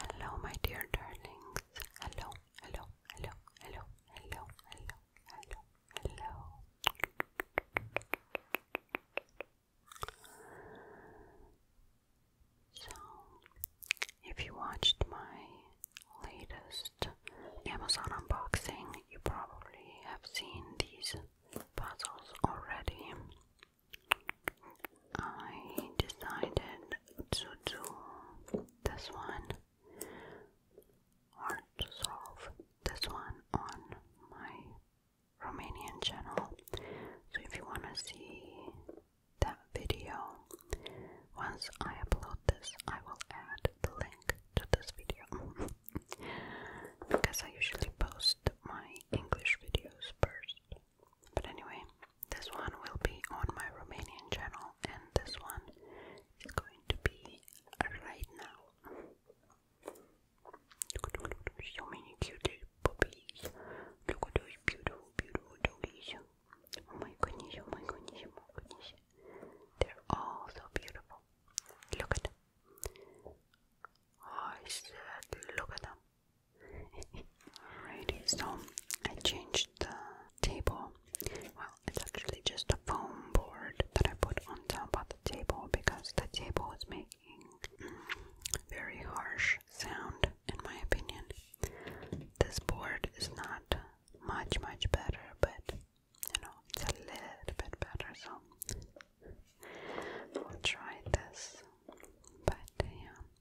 Hello, my dear darlings. Hello, hello, hello, hello, hello, hello, hello, hello. So, if you watched my latest Amazon unboxing, you probably have seen these puzzles already. I decided to do this one or to solve this one on my Romanian channel. So if you want to see that video, once I upload this, I will add the link to this video because I usually post my English videos first. But anyway, this one will be on my Romanian channel, and this one is going to be right now. so many cute puppies. Look at those beautiful, beautiful doggies. Oh my goodness, oh my goodness, oh my goodness. They're all so beautiful. Look at them. Oh, look at them. Alrighty, so I changed the table. Well, it's actually just a foam board that I put on top of the table because the table is making very harsh sound, in my opinion. This board is not much, much better, but you know, it's a little bit better, so we will try this. But yeah,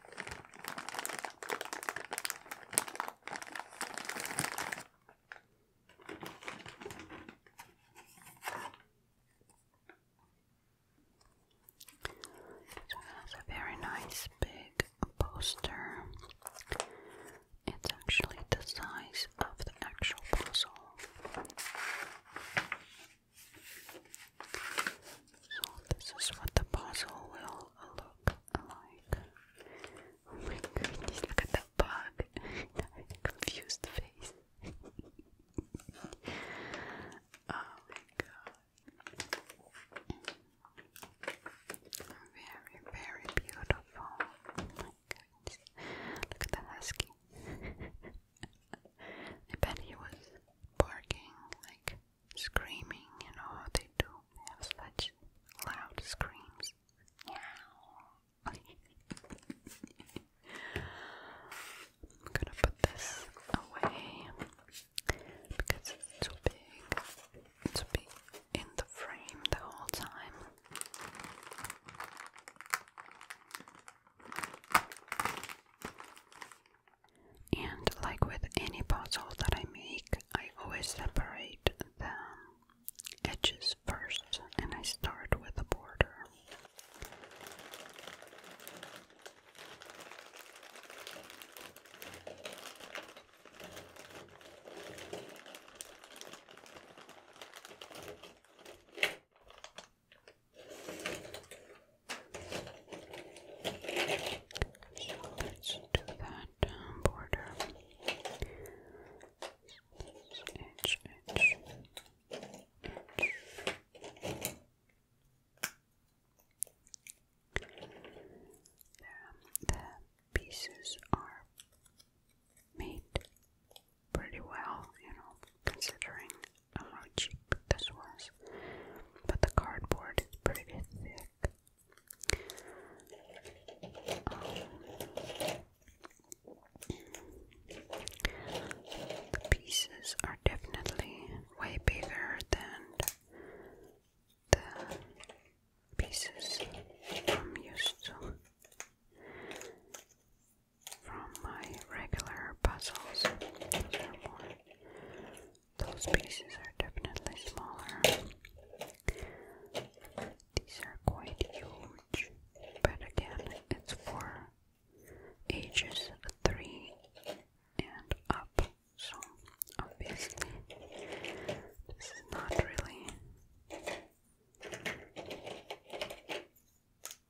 This has a very nice big poster. It's actually the size of the actual puzzle. So this is what the puzzle will look like. Oh my goodness, look at the bug. Confused face. oh my god. Very, very beautiful. Oh my goodness. Look at the husky. I bet he was barking like screaming, you know how they do. They such loud screams. I'm gonna put this away because it's too big. It's big in the frame the whole time. And like with any puzzle that I make, I always separate the edges first and I start with the border. So let's do that border. The pieces are made pretty well, you know, considering how cheap this was, but the cardboard is pretty thick. Um, the pieces are definitely way bigger than the pieces I'm used to from my regular puzzles. Those pieces are definitely smaller. These are quite huge, but again, it's for ages 3 and up, so obviously, this is not really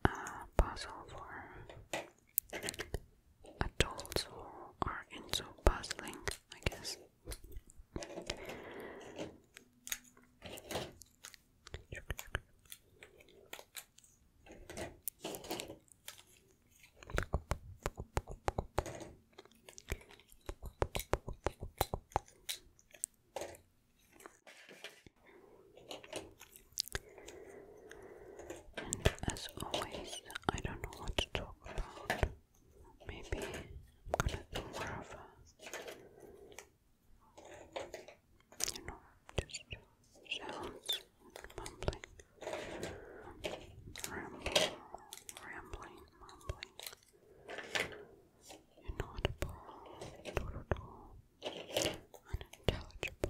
uh, a puzzle for adults who are into puzzling, I guess. And as always, I don't know what to talk about. Maybe I'm gonna do more of a, you know, just sounds, mumbling, rambling, rambling, mumbling, inaudible, doodle, unintelligible,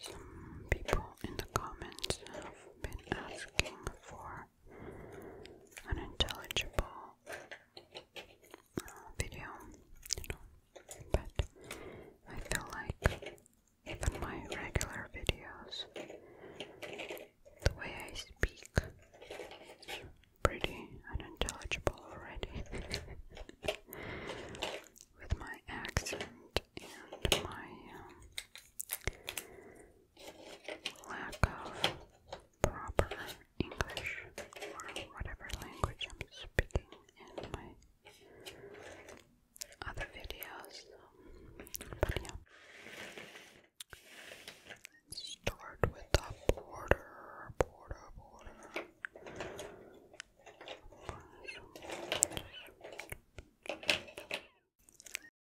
some people in the comments have been asking for unintelligible uh, video, you know. But I feel like even my regular videos, the way I speak, pretty unintelligible already. With my accent and my um, lack of proper English or whatever language I'm speaking in my other videos. Let's start with the border, border, border.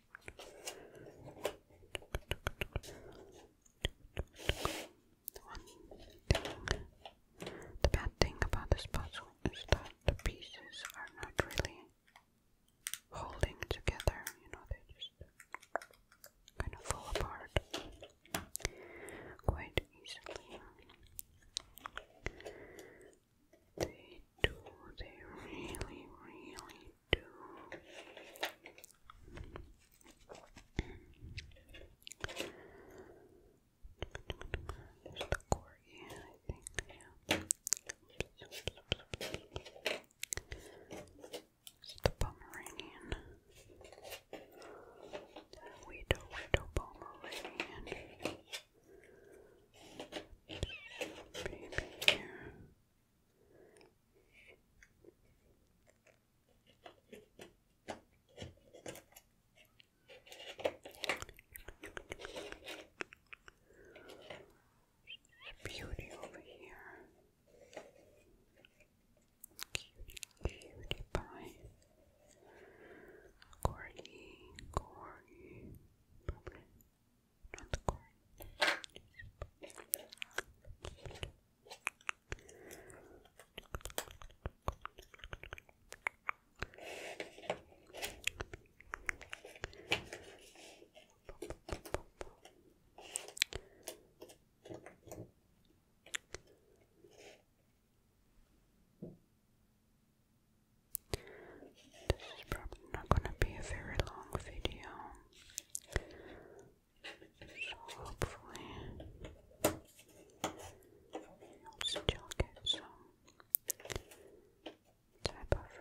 The bad thing about this puzzle is that the pieces are not really holding together, you know, they just kind of fall apart quite easily. They do, they really, really do. There's the I think. Yeah. It's the Widow, widow, Pomeranian. Baby here. Beauty over here. Cutie, cutie pie. Corgi, corgi, this is probably not going to be a very long video. So hopefully soon you'll get some type of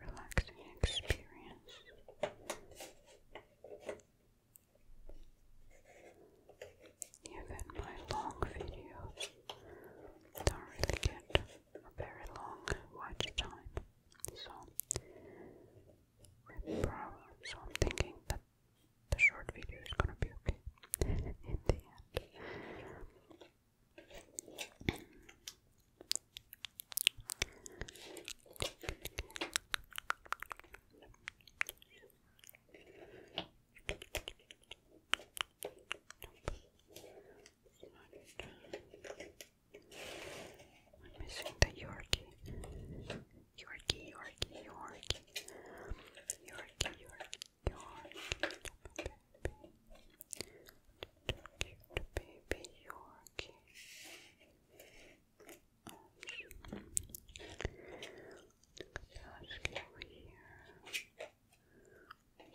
relaxing experience. Even my long videos don't really get a very long watch time. So, so I'm thinking that the short video is gonna be okay in the end. I'm missing the Yorkie. Yorkie, Yorkie, Yorkie. Yorkie, Yorkie, Yorkie. Baby. Cute baby Yorkie. Awesome.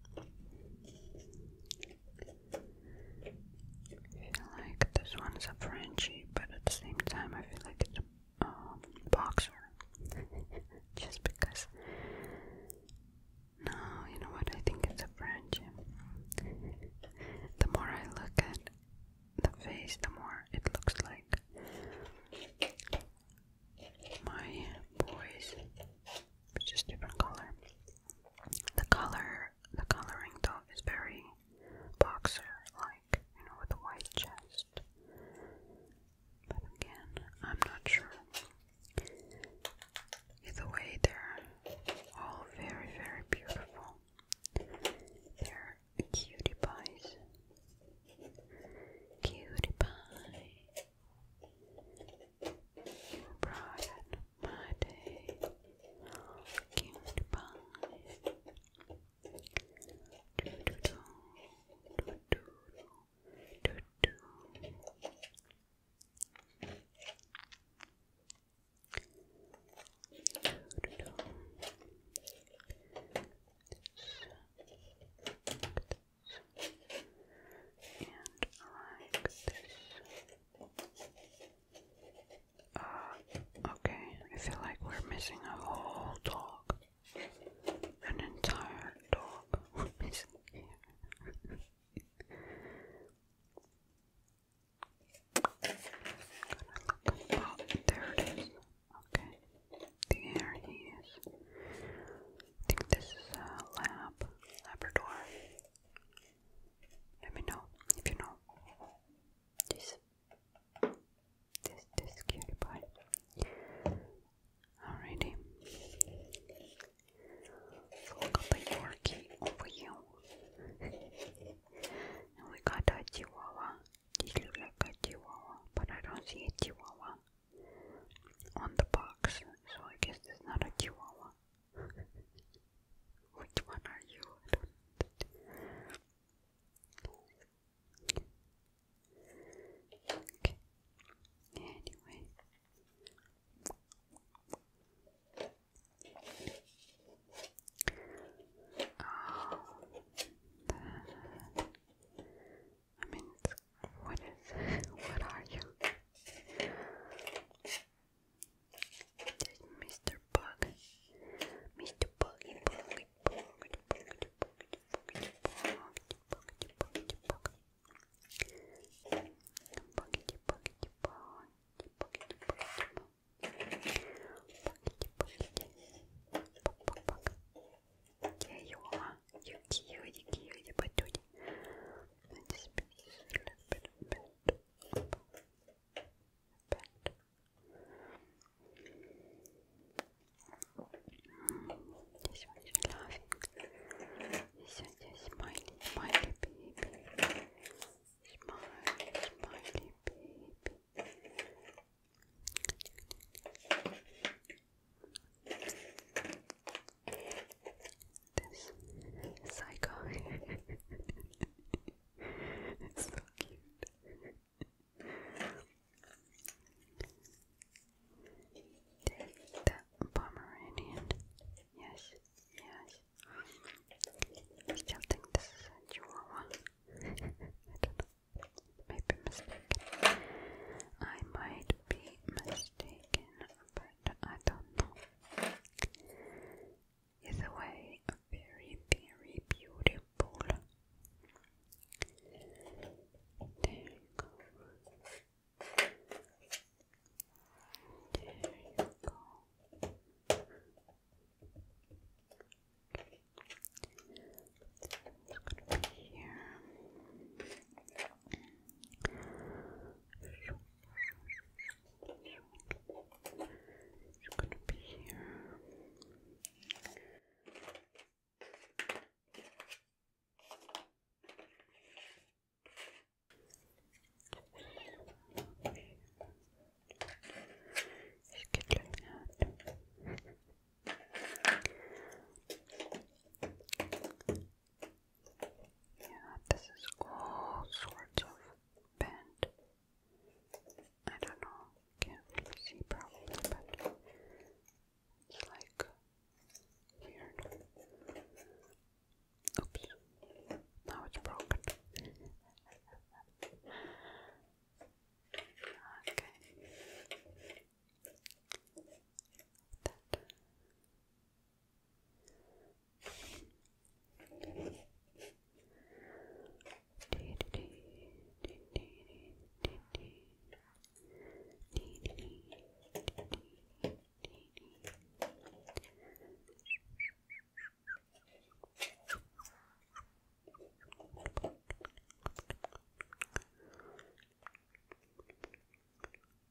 I feel like this one's a Frenchy, but at the same time, I feel like it's a um, boxer. Just because. No, you know what? I think it's a Frenchie. the more I look at the face, the more it looks like my boys, which different color. The color, the coloring though is very boxer-like, you know, with a white chest. But again, I'm not sure. Either way, they're all very, very beautiful. They're cutie pies. Cutie pie. Brian, my day, cute pie. Do do do, do do do, do do and like this. Uh, okay, I feel like we're missing a whole dog. An entire dog. We're missing here. Oh, there it is. Okay. There he is. I think this is a lab, Labrador. Let me know if you know. This, this, this cutie pie. Alrighty. So got the Yorkie we got a Chihuahua. This but I don't see a Chihuahua on the box, so I guess it's not a chihuahua. Which one are you? okay. Anyway. Oh, I mean, what is what are you? Mr. Bug. Mr. Buggy Buggy Bug Buggy Buggy Buggy Bug Buggity Buggity Bug Buggity Buggity Buggity Buggity Bug Bug Bug There you are які, які, які батюні. Let's be a little bit bent. Bent. This smiley, smiley baby. Smiley, smiley baby. This psycho It's so cute. the Pomeranian. Yes, yes. I still think this is a Chihuahua. Maybe mistaken. I might be mistaken but I don't know. Is way very, very beautiful. There you go. There you go. here. It's going to be here. Just get like that. Yeah, this is all sorts of bent. I don't know, can't see probably, but it's like weird. Oops, now it's broken. okay. Dee, dee,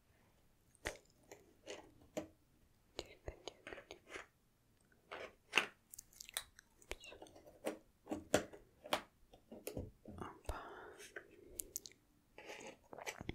Opa. Where are you?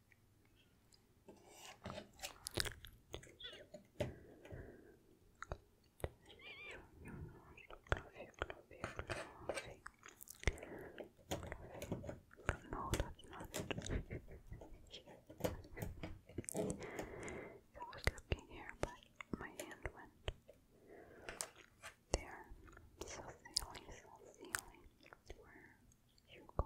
No, I was looking here, but my hand went there. So, the only, the only where you go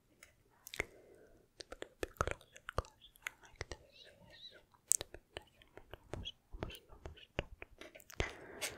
little bit closer, closer, like this, yes. Almost, almost, cute cute.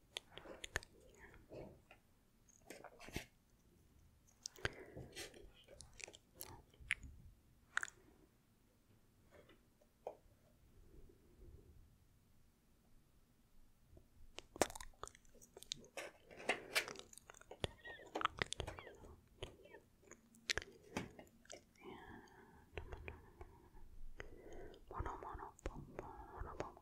Yeah. And mono mono mono mono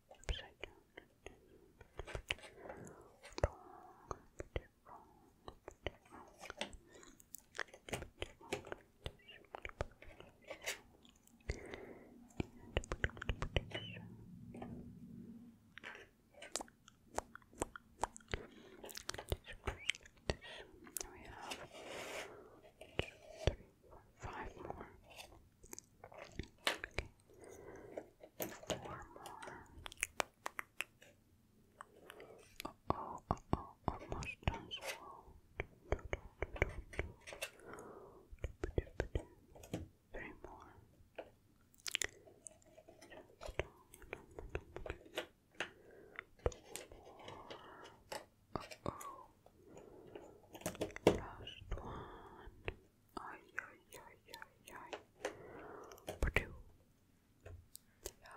upside down. we have two, three, four, five more. Okay. Four more. oh, oh, almost done. Three more. Uh oh. Last one. Ay, ay, ay, ay, ay. Purdue. da,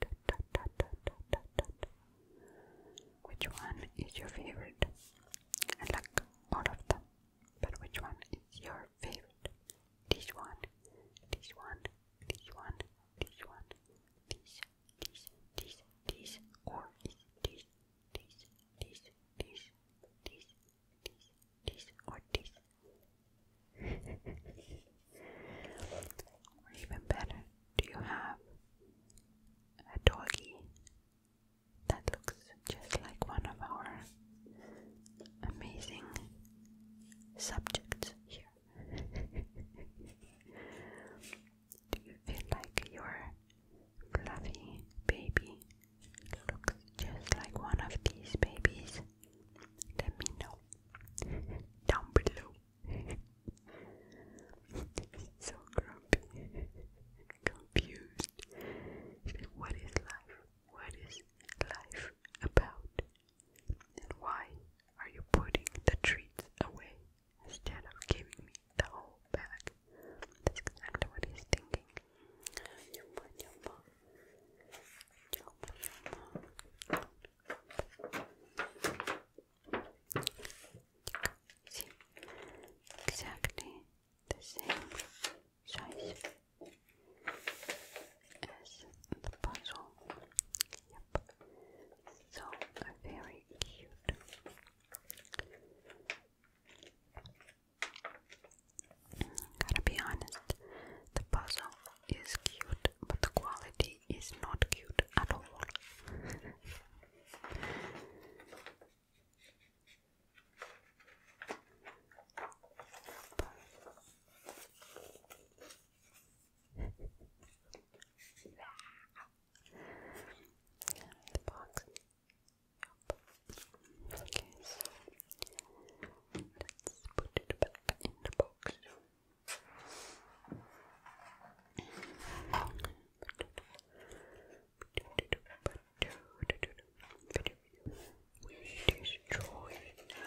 da, da, da, da, da, da. Which one is your favorite? I like all of them, but which one is your favorite? This one, this one, this one, this one, this, this, this, this, or this, this, this, this, this, this, this, or even better, do you have a doggy that looks just like one of our amazing subjects here? do you feel like your fluffy baby looks just like one of these babies, let me know down below. so grumpy, confused. What is life? What is life about? And why are you putting the treats away instead of giving me the whole bag? That's exactly what he's thinking. Yuma, yuma exactly the same size as the puzzle. Yep. So very cute. Gotta be honest, the puzzle is cute, but the quality is not cute at all. Yep. Okay, so let's put it back in the box. We destroy it now.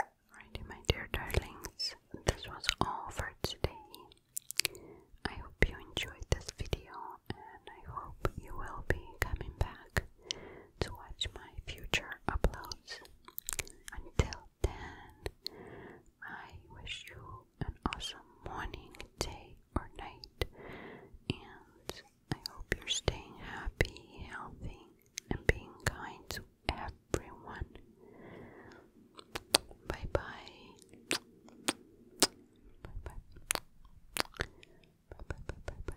Alrighty, my dear darlings, this was all for today. I hope you enjoyed this video and I hope you will be coming back to watch my future uploads. Until then, I wish you an awesome morning, day, or night, and I hope you're staying happy, healthy, and being kind to everyone. Bye bye. Bye bye. Bye bye bye bye bye.